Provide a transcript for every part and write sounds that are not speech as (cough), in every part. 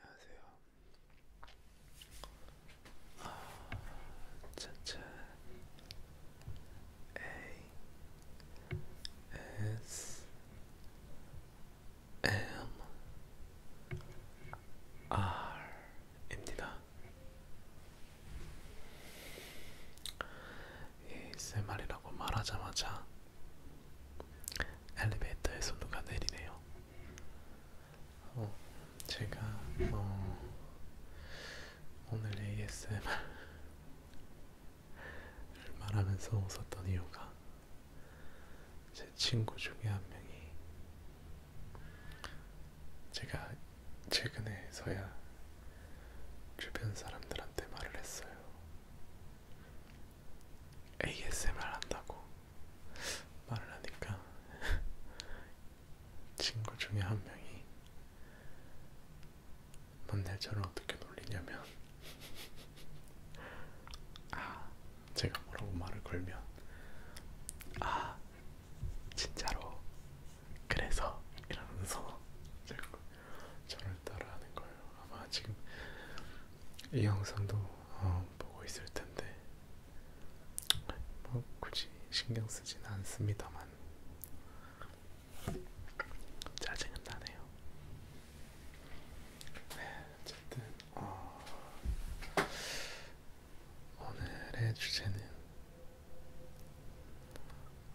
안녕하세요. 아, 차차 A S M R입니다. ASMR이라고 말하자마자 엘리베이터에서 누가 내리네요. 어, 제가 어, 오늘 ASMR을 말하면서 웃었던 이유가 제 친구 중에 한 명이 제가 최근에서야 주변 사람들한테 말을 했어요. ASMR 한다고 말을 하니까 (laughs) 친구 중에 한 명이 넌 날짜를 어떻게 놀리냐면 (laughs) 아 제가 뭐라고 말을 걸면 아 진짜로 그래서 이러면서 (laughs) 저를 따라하는 거예요. 아마 지금 이 영상도 어, 영상 보고 있을 텐데 뭐 굳이 신경 쓰진 않습니다만 짜증은 나네요. 네, 어쨌든 어, 오늘의 주제는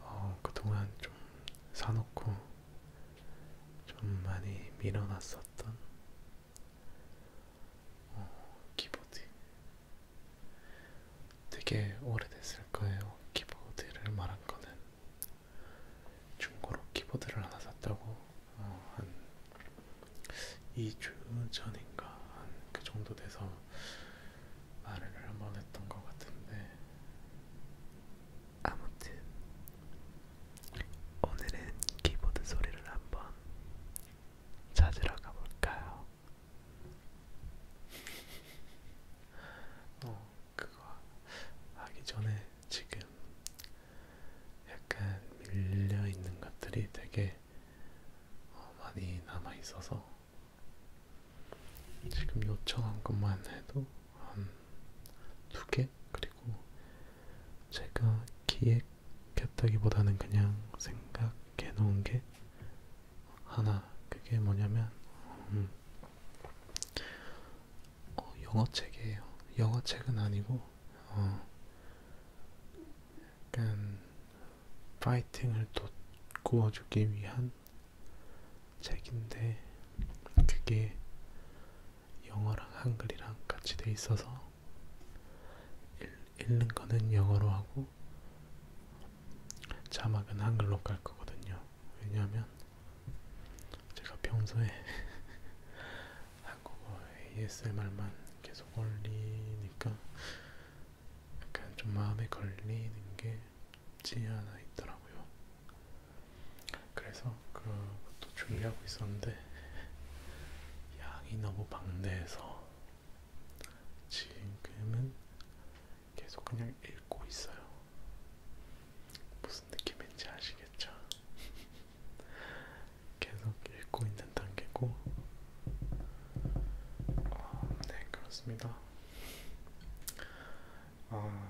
어, 그동안 좀 사놓고 좀 많이 밀어놨었던 어, 키보드 되게 오래됐을 거예요. 키보드를 말한 거는 중고로 키보드를 하나 샀다고 어, 한 2주 전인가 한 그 정도 돼서 말을 한번 했던 것 같은데 아무튼 오늘은 키보드 소리를 한번 찾으러 가볼까요? 어, 그거 하기 전에 지금 약간 밀려 있는 것들이 되게 어, 많이 남아 있어서 지금 요청한 것만 해도 한두개 기획 그리고 제가 기획했다기보다는 그냥 생각해 놓은 게 하나 그게 뭐냐면 음, 어, 영어책이에요. 영어책은 아니고 어, 약간 파이팅을 돋구어주기 위한 책인데 그게 영어랑 한글이랑 같이 돼 있어서 읽는 거는 영어로 하고 자막은 한글로 깔 거거든요. 왜냐하면 제가 평소에 (laughs) 한국어 ASMR만 계속 올리니까 약간 좀 마음에 걸리는 게 없지 않아 있더라고요. 그래서 그것도 준비하고 있었는데 양이 너무 방대해서 지금은 계속 그냥 읽고 있어요. 무슨 느낌인지 아시겠죠? (laughs) 계속 읽고 있는 단계고 어, 네 그렇습니다. 어...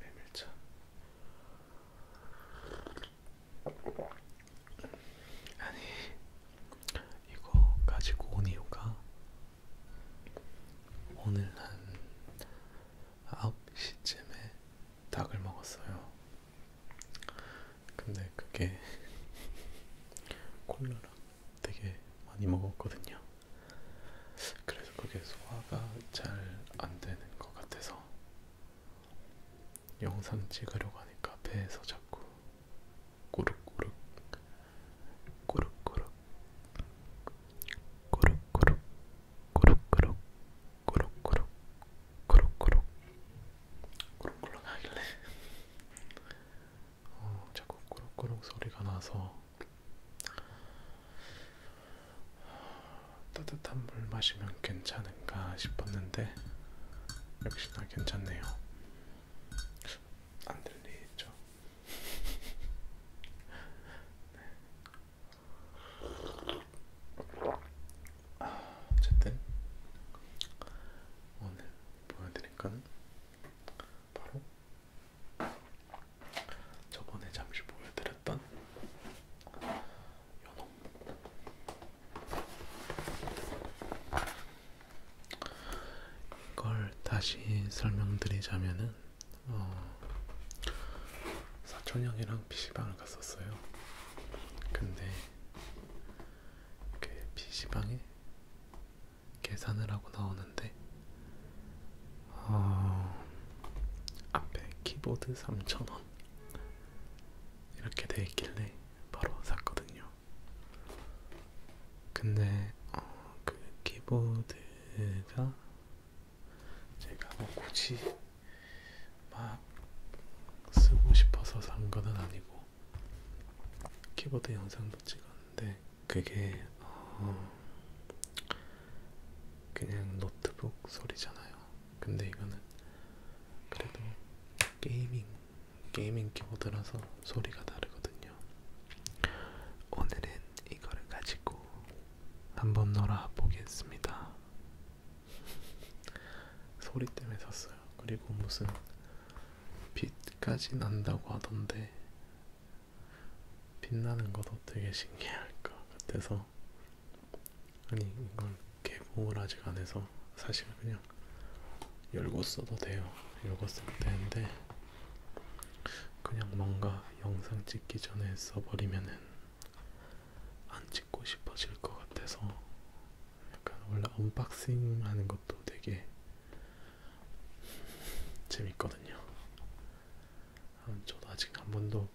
메밀차 아니 이거 가지고 온 이유가 오늘 한 9시쯤에 닭을 먹었어요. 근데 그게 콜라랑 되게 많이 먹었거든요. 그래서 그게 소화가 잘 안 되는 것 같아서 영상 찍으려고 하니까 배에서 자꾸 꾸룩꾸룩 꾸룩꾸룩 꾸룩꾸룩 꾸룩꾸룩 꾸룩꾸룩 꾸룩꾸룩 꾸룩꾸룩 하길래 어, 자꾸 꾸룩꾸룩 소리가 나서 따뜻한 물 마시면 괜찮은가 싶었는데 역시나 괜찮네요. 안 들리죠? 네. 어쨌든 오늘 보여드릴 건 바로 저번에 잠시 보여드렸던 일단 연어 이걸 다시 설명드리자면은 어, 사촌 형이랑 PC방을 갔었어요. 근데 이렇게 PC방에 계산을 하고 나오는데 어, 앞에 키보드 3,000원 이렇게 돼 있길래 바로 샀거든요. 근데 어, 그 키보드가 제가 뭐 굳이 막 쓰고 싶어서 산 거는 아니고 키보드 영상도 찍었는데 그게 어, 그냥 노트북 소리잖아요. 근데 이거는 그래도 게이밍 게이밍 키보드라서 소리가 다르거든요. 오늘은 이거를 가지고 한번 놀아 보겠습니다. (laughs) 소리 때문에 샀어요. 그리고 무슨 빛까지 난다고 하던데 빛나는 것도 되게 신기할 것 같아서 아니 이걸 개봉을 아직 안 해서 사실 그냥 열고 써도 돼요. 열고 써도 되는데 그냥 뭔가 영상 찍기 전에 써버리면은 안 찍고 싶어질 것 같아서 약간 원래 언박싱 하는 것도 되게 재밌거든요. 어, 저도 아직 한 번도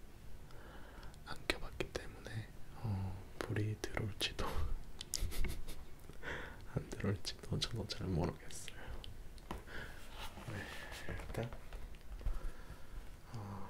안 껴봤기 때문에 어, 불이 들어올지도 (laughs) 안 들어올지도 저도 잘 모르겠어요. 네, 일단 어,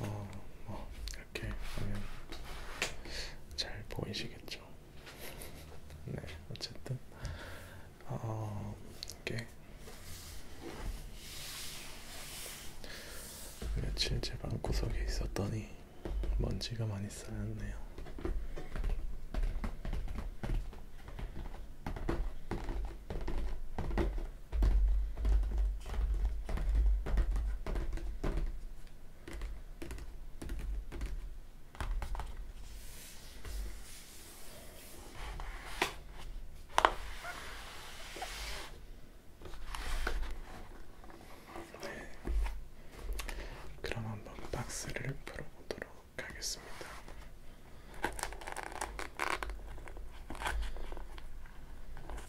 어, 뭐 이렇게 하면 잘 보이시겠죠? 네, 어쨌든 어, 어 이게 며칠 제 방구석에 있었더니 먼지가 많이 쌓였네요. 네. 그럼 한번 박스를 풀어보도록 하겠습니다.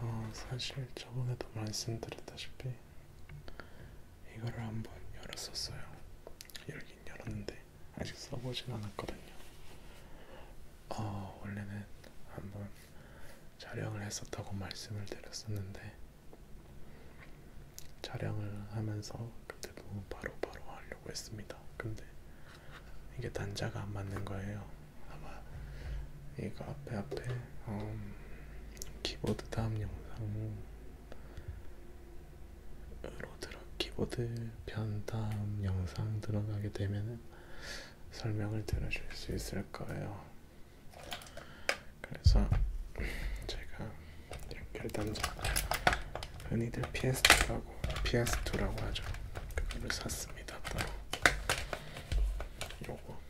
어, 사실 저번에도 말씀드렸다시피 이거를 한번 열었었어요. 열긴 열었는데 아직 써보진 않았거든요. 어, 원래는 한번 촬영을 했었다고 말씀을 드렸었는데 촬영을 하면서 그때도 바로바로 바로 하려고 했습니다. 근데 이게 단자가 안 맞는 거예요. 아마 이거 앞에 앞에 음, 키보드 다음 영상으로 들어 키보드 편 다음 영상 들어가게 되면은 설명을 들으실 수 있을 거예요. 그래서 제가 이렇게 단자 흔히들 PS가 하고 피아스토라고 하죠. 그거를 샀습니다. 따로 요거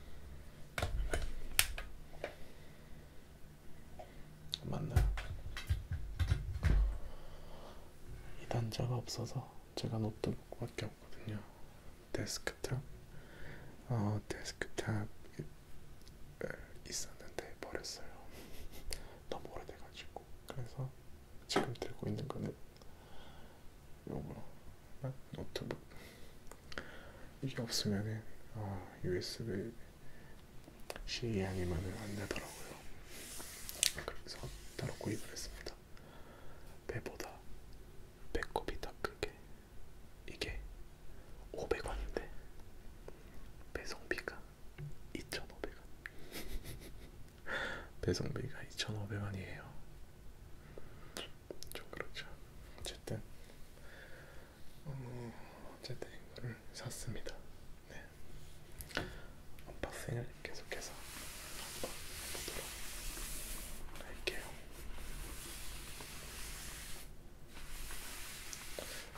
맞나? 이 단자가 없어서 제가 노트북밖에 없거든요. 데스크탑 어 데스크탑 있었는데 버렸어요. (laughs) 너무 오래돼가지고 그래서 지금 들고 있는 거는 요거 어, 노트북 이게 없으면은 아, USB C 양이면은 안 되더라고요. 그래서 따로 구입을 했습니다. 배보다 배꼽이 더 크게 이게 500원인데 배송비가 2,500원. 배송비가 2,500원이에요. 좀 그렇죠. 어쨌든 어, 어쨌든 이거를 샀습니다. 네. 언박싱을 계속해서 한번 보도록 할게요.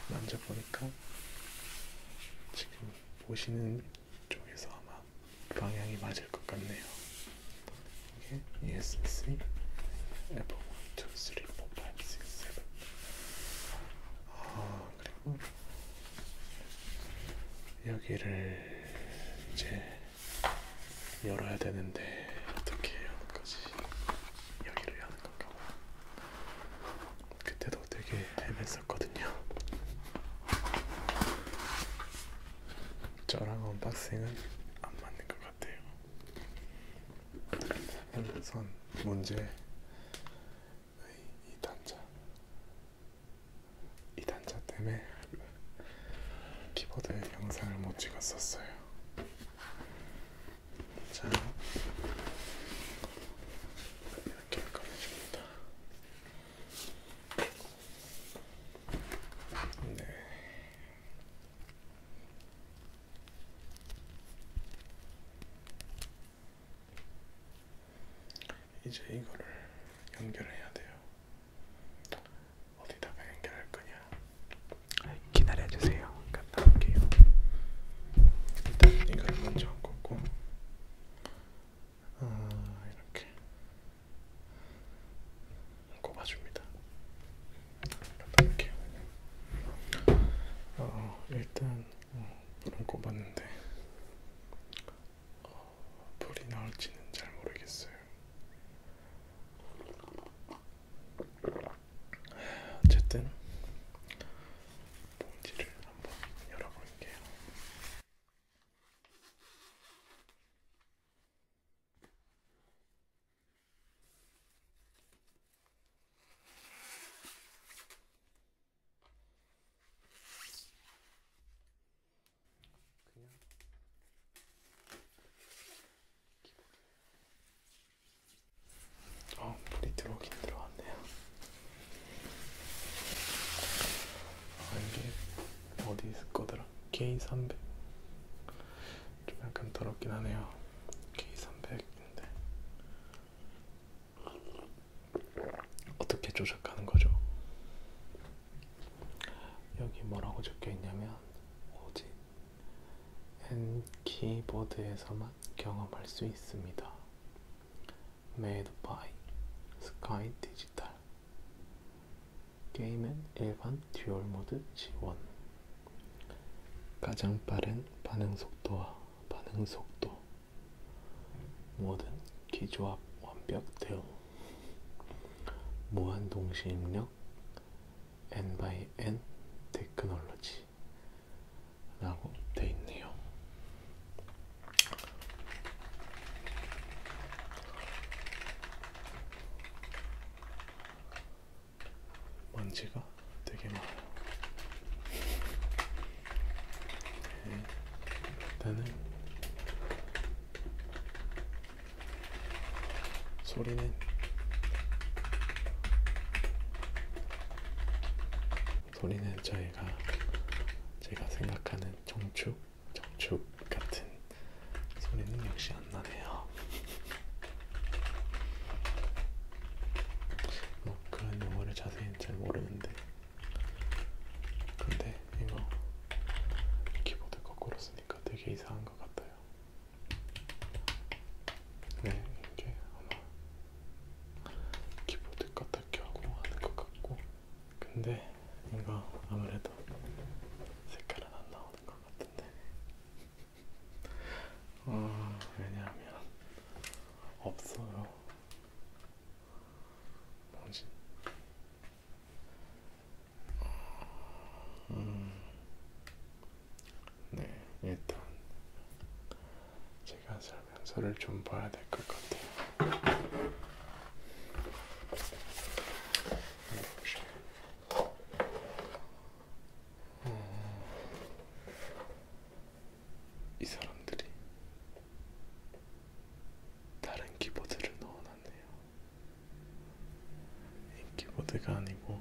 만져보니까 지금 보시는 쪽에서 아마 방향이 맞을 것 같네요. 이게 ESC Apple 1, 2, 3, 4, 5, 6, 7. 아 그리고 여기를 이제 열어야 되는데 어떻게 하는 거지? 여기를 하는 건가? 그때도 되게 헤맸을 있었거든요. 저랑 언박싱은 안 맞는 것 같아요. 우선 문제의 이 단자, 이 단자 때문에 키보드 영상을 못 찍었었어요. 자, 이렇게 꺼내줍니다. 네. 이제 이거를 연결해야 돼요. 어디다가 연결할 거냐? 기다려 주세요. 갔다 그러니까 올게요. 일단 이걸 먼저 꽂고 어, 이렇게 꼽아줍니다. 이렇게 어, 일단 어, 불은 꼽았는데 어, 불이 나올지는 잘 모르겠어요. 어쨌든 봉지를 한번 열어볼게요. 그냥 어, 물이 들어오긴 들어왔네요. 아 이게 어디 있을 거더라? K300 좀 약간 더럽긴 하네요. K300인데 어떻게 조작하는 거죠? 여기 뭐라고 적혀 있냐면 오직 엔 키보드에서만 경험할 수 있습니다. made by Sky Digital 게임은 일반 듀얼 모드 지원 가장 빠른 반응 속도와 반응 속도 모든 기조합 완벽 대응 무한 동시 입력 N by N 테크놀로지 라고 돼 있네요. 먼지가 되게 많아요. 네, 일단은 소리는 소리는 저희가 제가 생각하는 정축 적축 같은 소리는 역시 안 나네요. (laughs) 뭐 그런 용어를 자세히 잘 모르는데, 근데 이거 키보드 거꾸로 쓰니까 되게 이상한 것 같아요. 네, 이게 아마 키보드 까딱히 하고 하는 것 같고 근데 이거 아무래도 색깔은 안 나오는 것 같은데 어, 왜냐하면 없어요 뭐지? 어, 음, 네 일단 제가 잘 면서를 좀 봐야 될 것 같아요. 어... 이 사람들이 다른 키보드를 넣어놨네요. 이 키보드가 아니고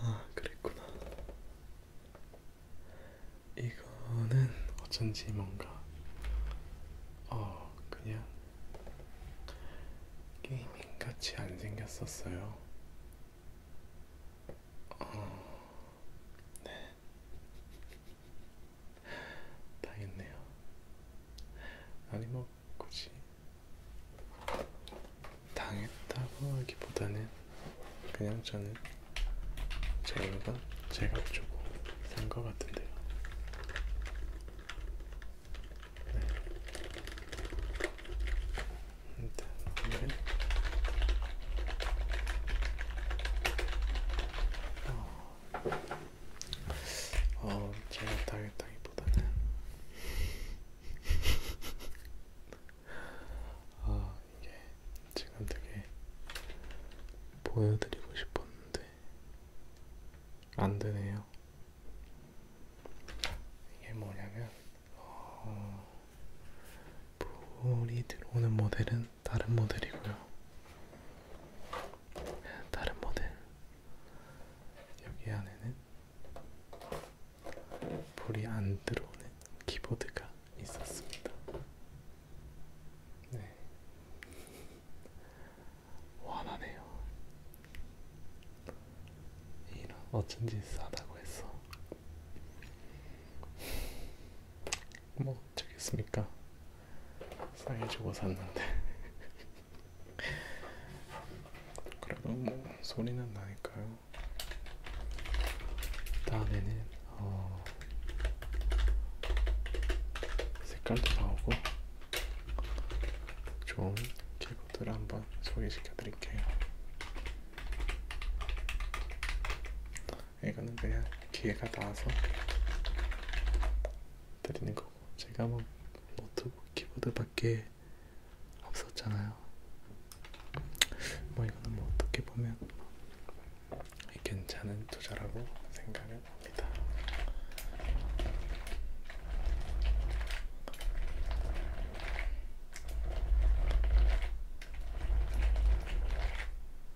아, 그랬구나. 이거는 어쩐지 뭔가 어 그냥 게이밍 같이 안 생겼었어요. 어, 네. 당했네요. 아니 뭐 굳이 당했다고 하기보다는 그냥 저는 제 물건 제가 주고 산것 같은데요. 네. 일단 오늘 어. 어, 제가 당했다기보다는 (laughs) 아 이게 지금 되게 보여드리고 싶었는데 안 되네요. 이게 뭐냐면 어, 불이 들어오는 모델은 다른 모델이고요. 다른 모델 여기 안에는 볼이 안 들어오는 키보드가 있었습니다. 네, 화나네요. 이런 어쩐지 싸다고 했어. 뭐 어쩌겠습니까? 싸게 주고 샀는데 (laughs) 그래도 뭐 소리는 나니까요 다음에는 어 색깔도 나오고 좋은 키보드를 한번 소개시켜 드릴게요 이거는 그냥 기회가 나와서 드리는 거고 제가 뭐 노트북 키보드 밖에 없었잖아요 뭐 이거는 뭐 어떻게 보면 괜찮은 투자라고 생각을 합니다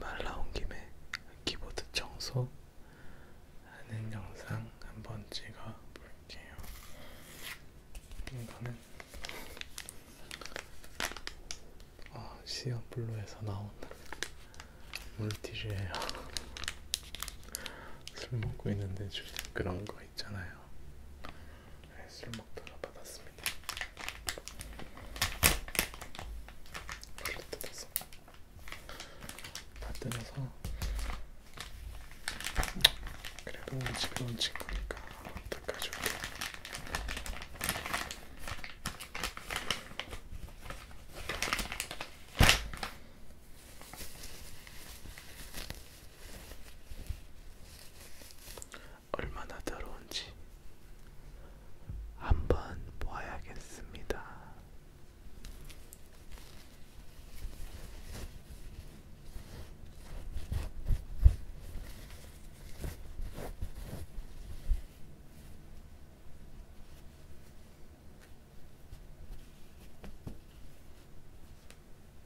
말 나온 김에 키보드 청소 하는 영상 한번 찍어 볼게요. 이거는 어, 시어블루에서 나온 물티슈예요. 술 먹고 있는데 주는 그런 거 있잖아요. 네, 술 먹다가 받았습니다. 원래 뜯었어. 다 뜯어서 그래도 우리 집에 온 친구니까 닦아줄게. 얼마나 더러운지 한번 봐야겠습니다.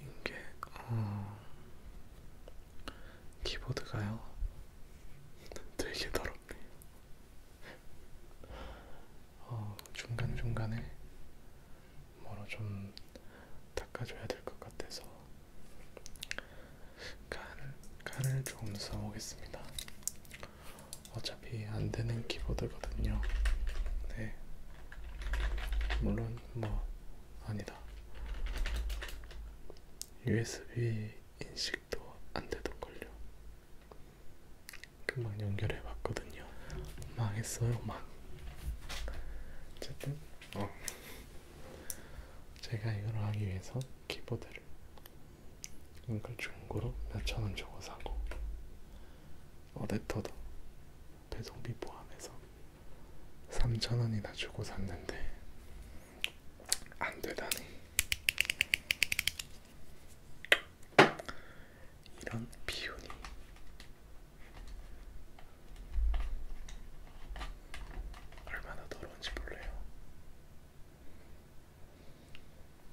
이게 어 키보드가요 되게 더럽네. 어 중간 중간에 뭐로 좀 닦아줘야 될 것 같아서 간, 간을 조금 써보겠습니다. 어차피 안 되는 키보드거든요. 네. 물론 뭐 아니다. USB 인식도 안 되던걸요. 금방 연결해 봤거든요. 망했어요, 망. 어쨌든 어. 제가 이걸 하기 위해서 키보드를 이걸 중고로 몇천원 주고 사고 어댑터도 배송비 포함해서 3천원이나 주고 샀는데 안되다니 이런 비운이 얼마나 더러운지 몰라요.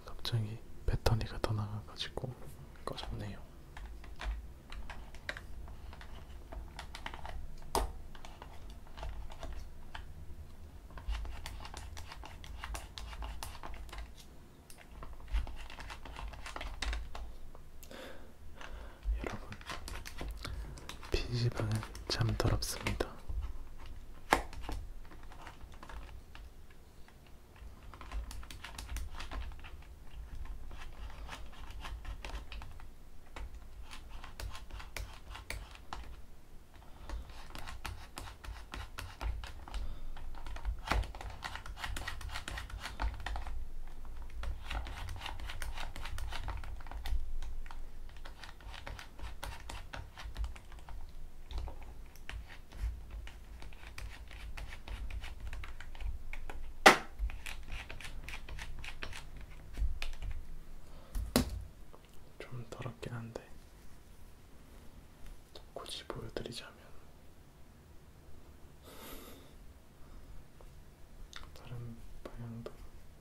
갑자기 배터리가 더 나가가지고 꺼졌네요. 여러분, PC방은 참 더럽습니다. 좀 더럽긴 한데 굳이 보여드리자면 다른 방향도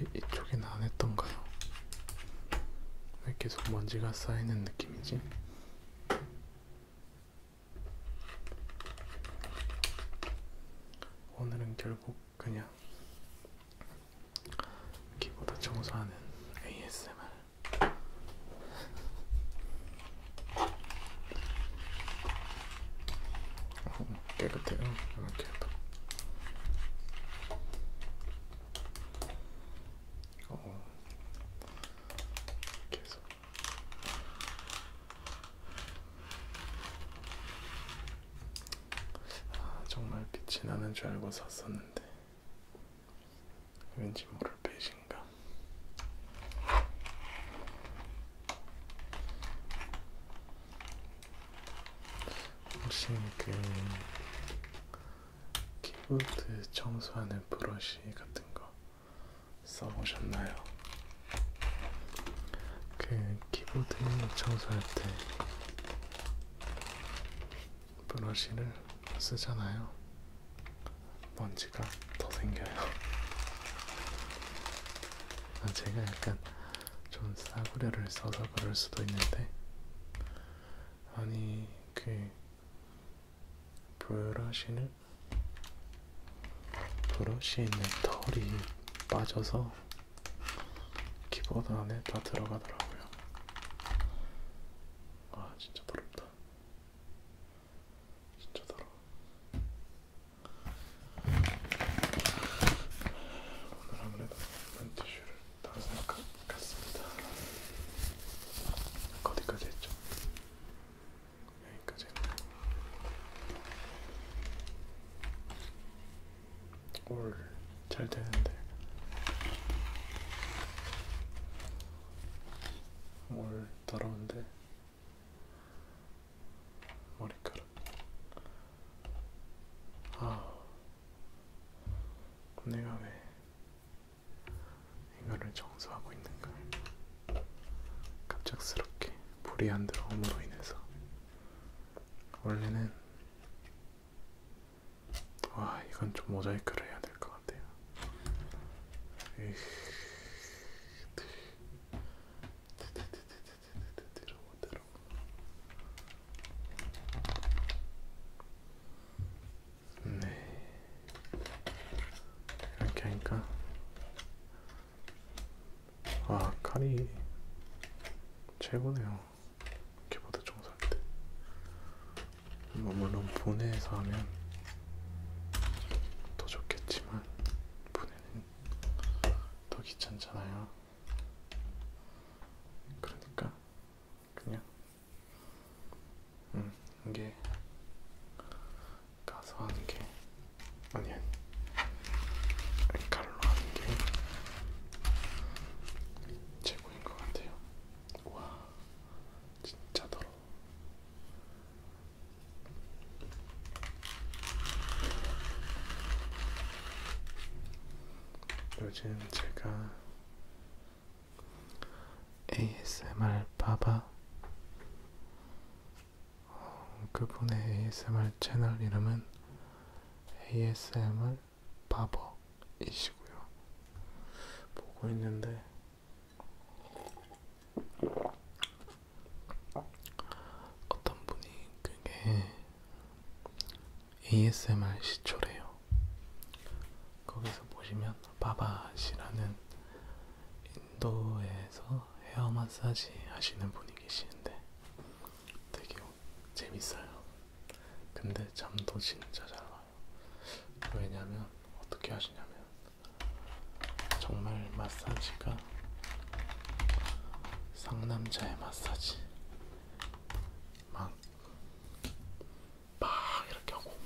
이, 이쪽엔 안 했던가요? 왜 계속 먼지가 쌓이는 느낌이지? 오늘은 결국 그냥 키보드 청소하는 ASMR 깨끗해요. 이렇게 아, 딱. 어. 이렇게 해서. 아, 정말 빛이 나는 줄 알고 샀었는데. 왠지 모를 배신감. 혹시 그 키보드 청소하는 브러쉬 같은 거 써보셨나요? 그 키보드 청소할 때 브러쉬를 쓰잖아요. 먼지가 더 생겨요. 아, 제가 약간 좀 싸구려를 써서 그럴 수도 있는데, 아니, 그, 브러쉬는, 브러쉬에 있는 털이 빠져서 키보드 안에 다 들어가더라고요. 아, 진짜 부럽다. 진짜 더러워. 오늘 아무래도 맨티슈를 다 생각했습니다. 어디까지 했죠? 여기까지 했나요? 올잘 되는데 뭘 더러운데 머리카락 아 내가 왜 이거를 청소하고 있는가 갑작스럽게 불이 안 들어옴으로 인해서 원래는 와 이건 좀 모자이크를 해야 될 것 같아요. 네 이렇게 하니까 아 칼이 최고네요. 키보드 청소할 때. 뭐 물론 보내서 하면 더 좋겠지만 보내는 더 귀찮잖아요. 그러니까 그냥 음 이게 가서 하는 게 아니 아니 칼로 하는 게 최고인 것 같아요. 와 진짜 더러워. 요즘 제가 ASMR 바바 어, 그분의 ASMR 채널 이름은 ASMR 바버이시고요 보고 있는데 어떤 분이 그게 ASMR 시초래요. 거기서 보시면 바바시라는 인도에서 헤어 마사지 하시는 분이 계시는데 되게 재밌어요. 근데 잠도 진짜 잘 와. 왜냐면 어떻게 하시냐면 정말 마사지가 상남자의 마사지 막, 막 이렇게 하고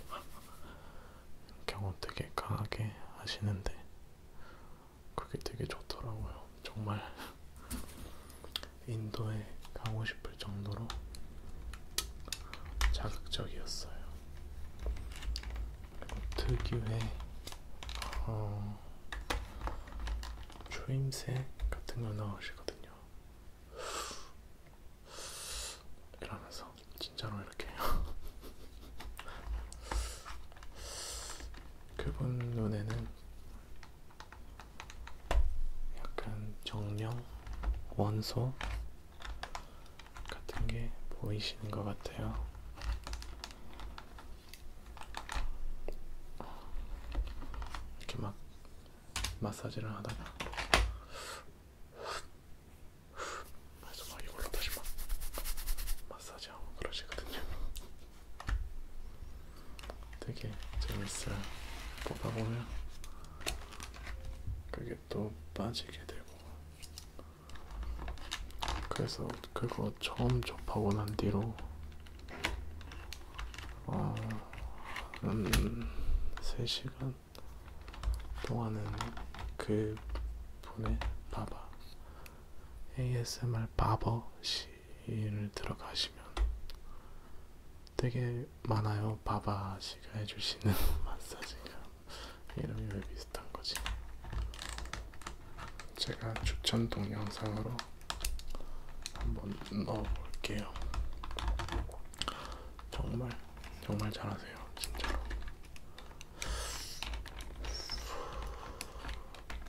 이렇게 (laughs) 하고 되게 강하게 하시는데 그게 되게 좋더라고요. 정말 (laughs) 인도에 가고 싶 싶을 정도로 자극적이었어요. 그리고 특유의 어, 초임새 같은 걸 넣으시거든요. 이러면서 진짜로 이렇게 (laughs) 그분 눈에는 약간 정령, 원소, 같은 게 보이시는 것 같아요. 이렇게 막 마사지를 하다가 그래서 막 이걸로 다시 막 마사지하고 그러시거든요. 되게 재밌어요. 보다 보면 그게 또 빠지게 되고 그래서 그거 처음 접하고 난 뒤로 어, 아, 음, 3시간 동안은 그 분의 바바 ASMR 바버 씨를 들어가시면 되게 많아요. 바바 씨가 해주시는 (laughs) 마사지가 이름이 왜 비슷한 거지? 제가 추천 동영상으로 한번 넣어볼게요. 정말 정말 잘하세요, 진짜로.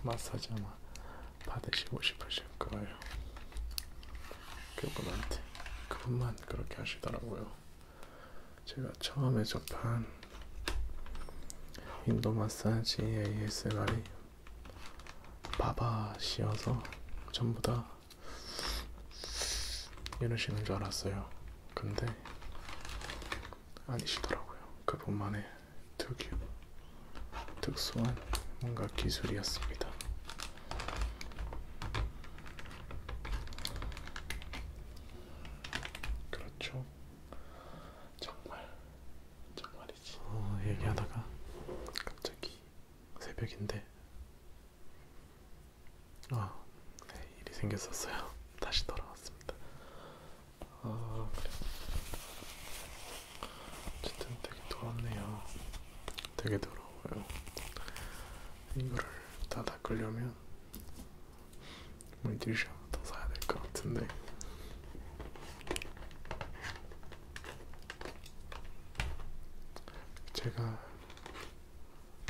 마사지 아마 받으시고 싶으실 거예요. 그분한테 그분만 그렇게 하시더라고요. 제가 처음에 접한 인도 마사지 ASMR이 바바시여서 전부 다 이러시는 줄 알았어요. 근데 아니시더라고요. 그분만의 특유, 특수한 뭔가 기술이었습니다. 그렇죠. 정말 정말이지. 어, 얘기하다가 갑자기 새벽인데 아 네, 일이 생겼었어요. (laughs) 다시 돌아왔습니다. 아 그래. 어쨌든 되게 더웠네요. 되게 더러워요. 이거를 다 닦으려면 물티슈 뭐 더 사야 될 것 같은데. 제가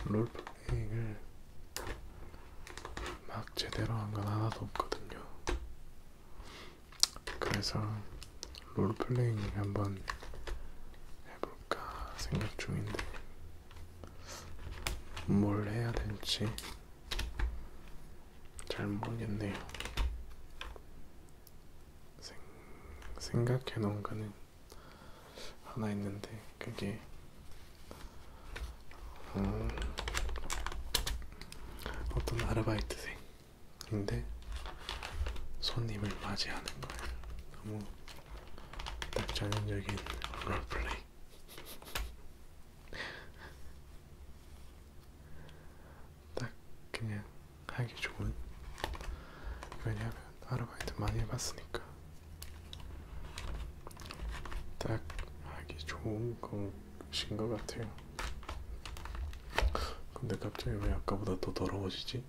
롤플레잉을 막 제대로 한 건 하나도 없거든요. 그래서 롤플레잉 한번 해볼까 생각 중인데 뭘 해야 될지 잘 모르겠네요. 생, 생각해 놓은 거는 하나 있는데 그게 음, 어떤 아르바이트생인데 손님을 맞이하는 거예요. 너무 딱 전형적인 롤플레이 딱 그냥 하기 좋은 왜냐면 아르바이트 많이 해봤으니까 딱 하기 좋은 것인 것 같아요 근데 갑자기 왜 아까보다 더 더러워지지?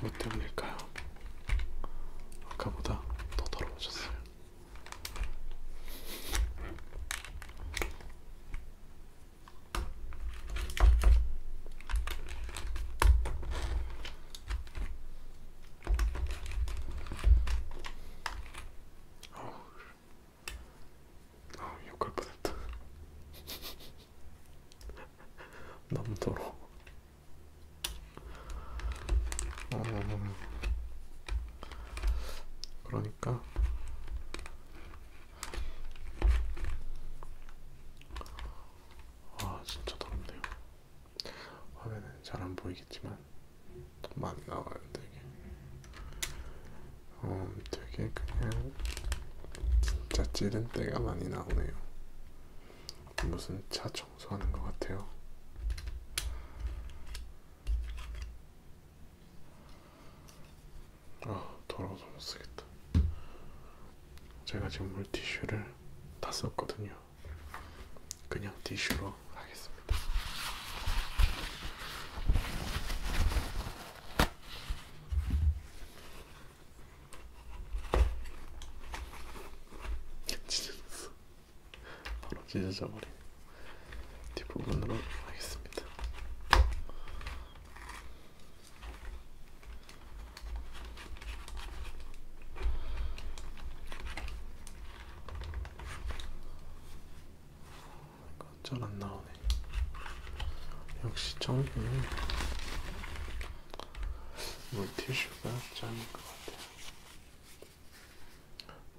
뭐 때문일까요? 아까보다 더 더러워졌어요. 어우, 아, 욕할 뻔했다. (laughs) 남도로 어... 그러니까 아 진짜 더럽네요 화면은 잘 안 보이겠지만 많이 나와요 되게 어, 되게 그냥 진짜 찌른때가 많이 나오네요. 무슨 차 청소하는 것 같아요. 아 더러워서 못 쓰겠다. 제가 지금 물티슈를 다 썼거든요. 그냥 티슈로 하겠습니다. 찢어졌어. 바로 찢어져 버리네. 뒷부분으로 하겠습니다. 어, 어쩌나 나오네. 아, 역시 전기는 물티슈가 짱인 것 같아요.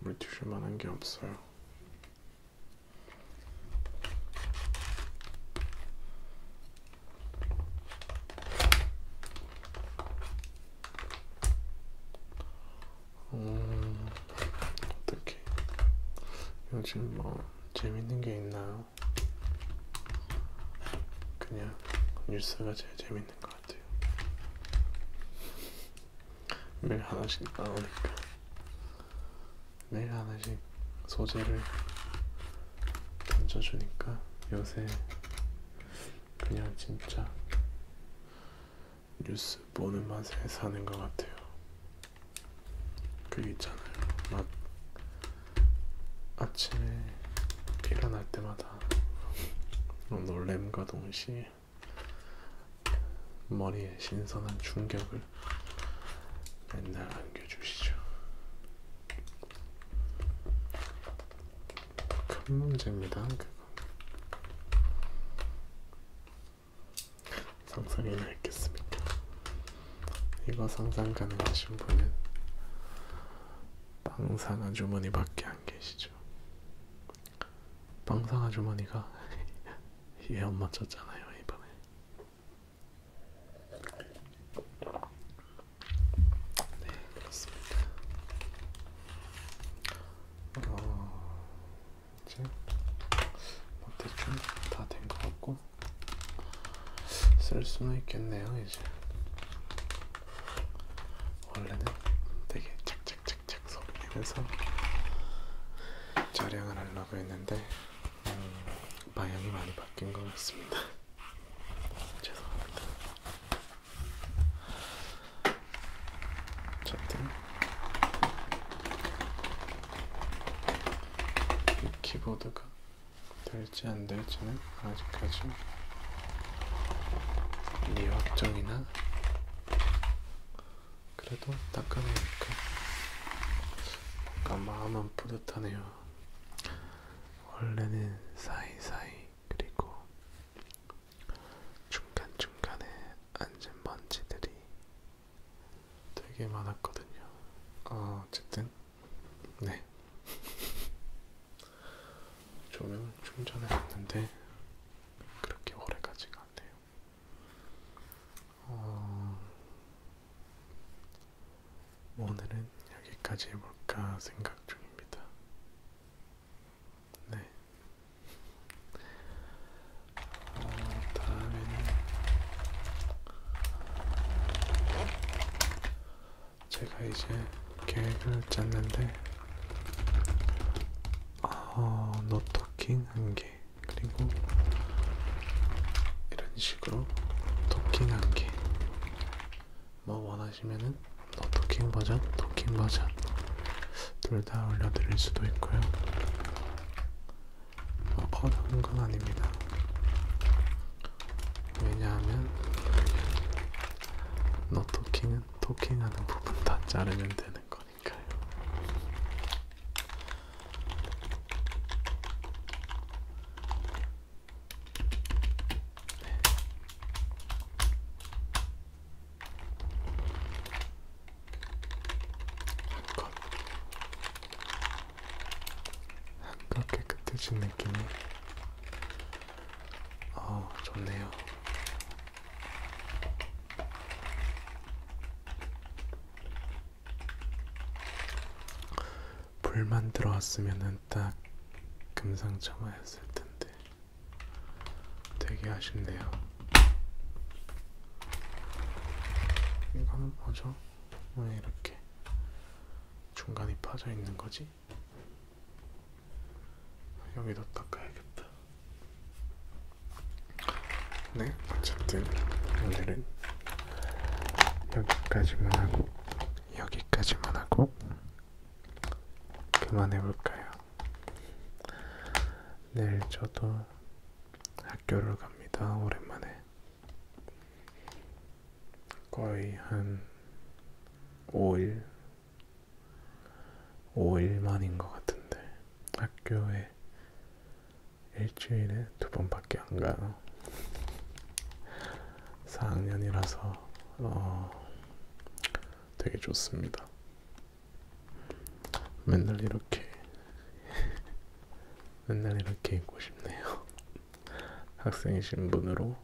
물티슈만한 게 없어요. 음, 어떻게 요즘 뭐 재밌는 게 있나요? 그냥 뉴스가 제일 재밌는 것 같아요. 매일 하나씩 나오니까 매일 하나씩 소재를 던져주니까 요새 그냥 진짜 뉴스 보는 맛에 사는 것 같아요. 그게 있잖아요. 막 아침에 일어날 때마다 놀램과 동시에 머리에 신선한 충격을 맨날 안겨주시죠. 큰 문제입니다. 그거. 상상이나 했겠습니까? 이거 상상 가능하신 분은 빵상 아주머니 밖에 안 계시죠. 빵상 아주머니가 예언 (laughs) 맞췄잖아요, 이번에. 네, 그렇습니다. 어, 이제 뭐 대충 다된 것 같고 쓸 수는 있겠네요 이제 원래는 되게 착착착착 소리 내면서 촬영을 하려고 했는데 음, 방향이 많이 바뀐 것 같습니다 (laughs) 죄송합니다 어쨌든 이 키보드가 될지 안 될지는 아직까지 미확정이나 그래도 닦아내니까 뭔가 마음은 뿌듯하네요. 원래는 사이사이 그리고 중간중간에 앉은 먼지들이 되게 많았거든요. 어, 어쨌든 네 조명을 (laughs) 충전해놨는데 그렇게 오래 가지가 않네요. 어, 오늘은 여기까지 해볼까 생각 중입니다. 네. 어, 다음에는 제가 이제 계획을 짰는데 어, 노토킹 한개 그리고 이런 식으로 토킹 한개 뭐 원하시면은 노토킹 버전, 토킹 버전 둘 다 올려드릴 수도 있고요. 커다란 건 아닙니다. 왜냐하면 너 토킹은 토킹하는 부분 다 자르면 되는 거니까요. 네. 한 컷. 약간 깨끗해진 느낌이 어, 좋네요. 불만 들어왔으면은 딱 금상첨화였을 텐데 되게 아쉽네요. 이거는 뭐죠? 왜 이렇게 중간이 빠져 있는 거지? 여기도 닦아야겠다. 네, 어쨌든 오늘은 여기까지만 하고 여기까지만 하고 그만해볼까요? 내일 저도 학교를 갑니다. 오랜만에. 거의 한 5일 5일 만인 것 같은데 학교에 일주일에 두 번밖에 안 가요 4학년이라서 어, 되게 좋습니다 맨날 이렇게 맨날 이렇게 입고 싶네요. 학생이 신분으로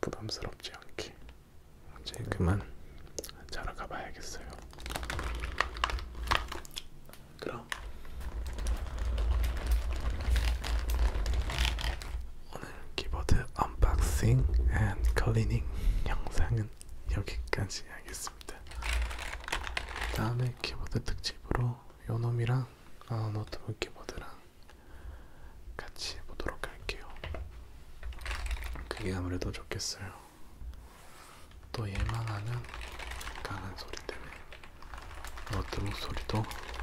부담스럽지 않게. 이제 그만 자러 가봐야겠어요. 그럼 오늘 키보드 언박싱 앤 클리닝 영상은 여기까지 하겠습니다. 다음에 키보드 특집으로 요놈이랑 아, 노트북 키보드랑 같이 보도록 할게요. 그게 아무래도 좋겠어요. 또 얘만 하면 강한 소리 때문에 노트북 소리도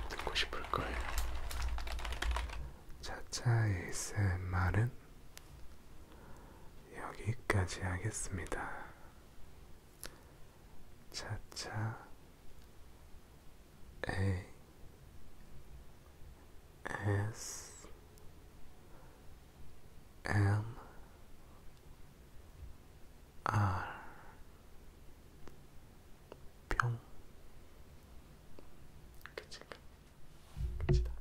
듣고 싶을 거예요. 차차 ASMR은 여기까지 하겠습니다. 차차 A S M R 평 끝인가? 끝이다.